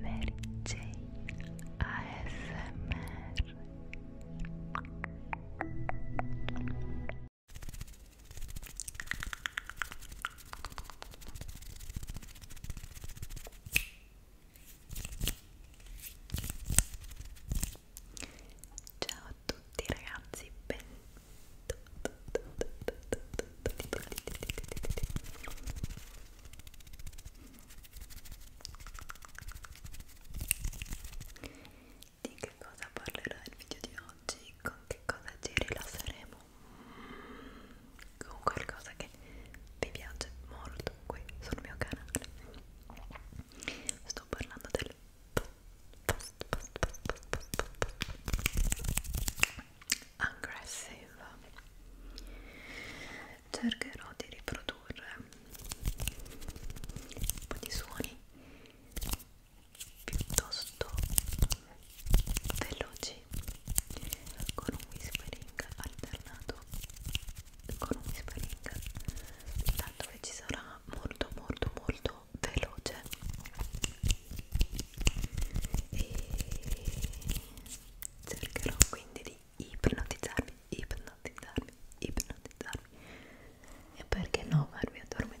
Mary Jane ASMR Ciao a tutti ragazzi, benvenuti di che cosa parlerà il video di oggi? Con che cosa ci rilasseremo? Con qualcosa che vi piace molto qui sul mio canale. Sto parlando del post post post post post post post aggressive cercherò di riprodurre un po' di suoni piuttosto veloci con un whispering alternato con un whispering tanto che ci sarà molto molto molto veloce e cercherò quindi di ipnotizzarvi, ipnotizzarvi, ipnotizzarvi e perché no farvi addormentare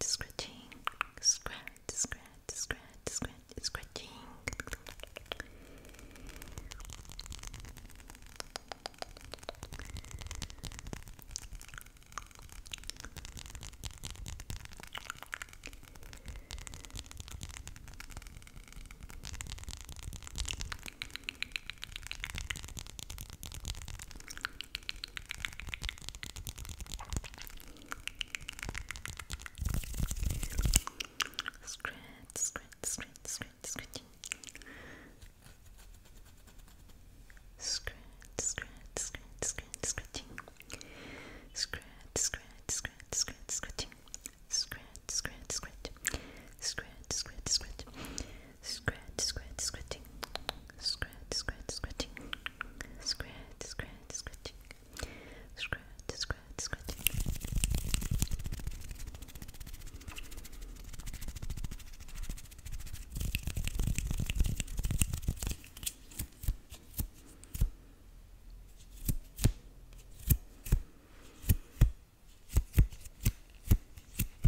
scratching, scratch, scratch, scratch, scratch, scratching. Scratch, scratch, scratch, scratch, scratch. Scratch, scratch, scratch, scratch, scratching. Scratch, scratch, scratch, scratch, scratching. Scratch, scratch, scratch. Scratch, scratch, scratch. Scratch, scratch, scratching. Scratch, scratch, scratching. Scratch, scratch, scratching. Scratch, scratch, scratching. Scratch,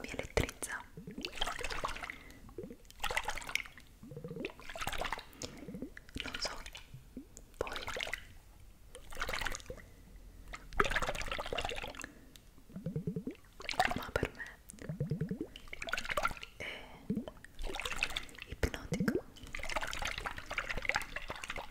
mi elettrizza non so poi ma per me è ipnotico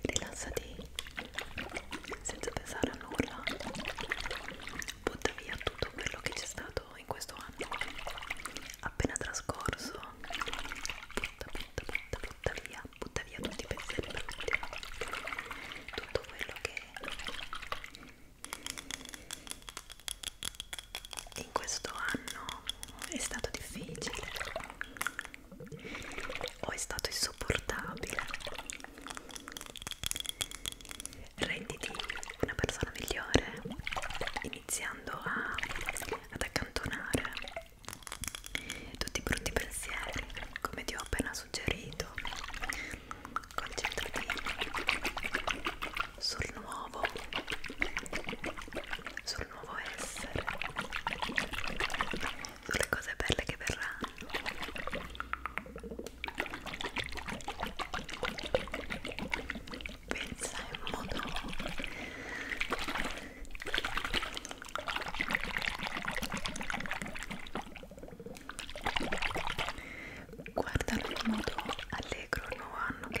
rilassati senza pensare a nulla butta via tutto quello che c'è stato in questo anno appena trascorso butta butta butta butta via butta via tutti i pensieri brutti tutto quello che in questo anno è stato difficile o è stato insopportabile renditi una persona migliore iniziando a, ad accantonare tutti i brutti pensieri come ti ho appena suggerito concentrati sul nuovo sul nuovo essere sulle cose belle che verranno pensa in modo guardalo in modo allegro nuovo anno che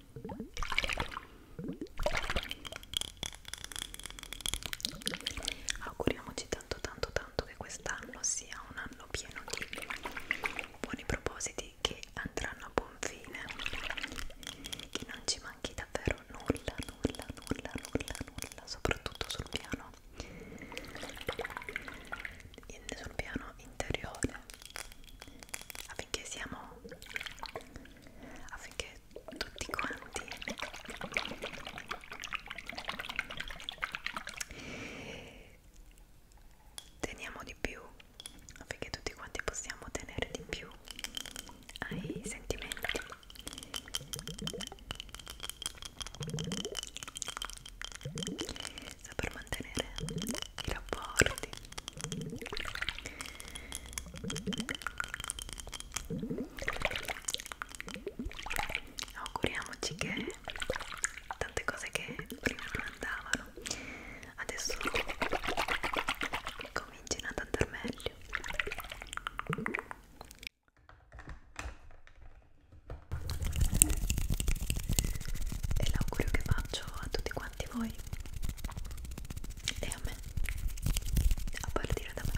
Auguriamoci tanto tanto tanto che quest'anno sia un anno pieno di buoni propositi che andranno a buon fine, che non ci manchi davvero nulla, nulla, nulla, nulla, nulla, soprattutto sul piano, in, sul piano interiore, affinché siamo, affinché tutti quanti teniamo di più perché tutti quanti possiamo tenere di più ai sentimenti per mantenere i rapporti Auguriamoci che tante cose che prima non andavano adesso comincino ad andare meglio. E l'augurio che faccio a tutti quanti voi e a me a partire da me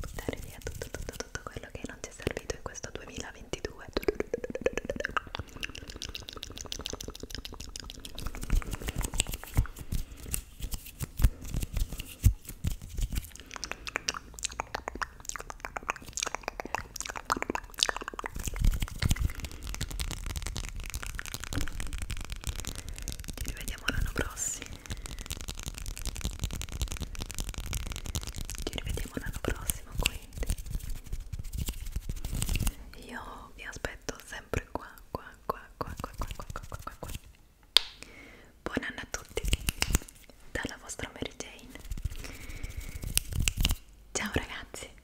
buttare via tutto, tutto, tutto quello che non ti è servito in questo 2022 ci rivediamo l'anno prossimo. Ci rivediamo l'anno prossimo, quindi. Io vi aspetto sempre qua, qua, qua, qua, qua, qua, qua, qua, qua, qua. Buon anno a tutti dalla vostra Mary Jane. Ciao ragazzi.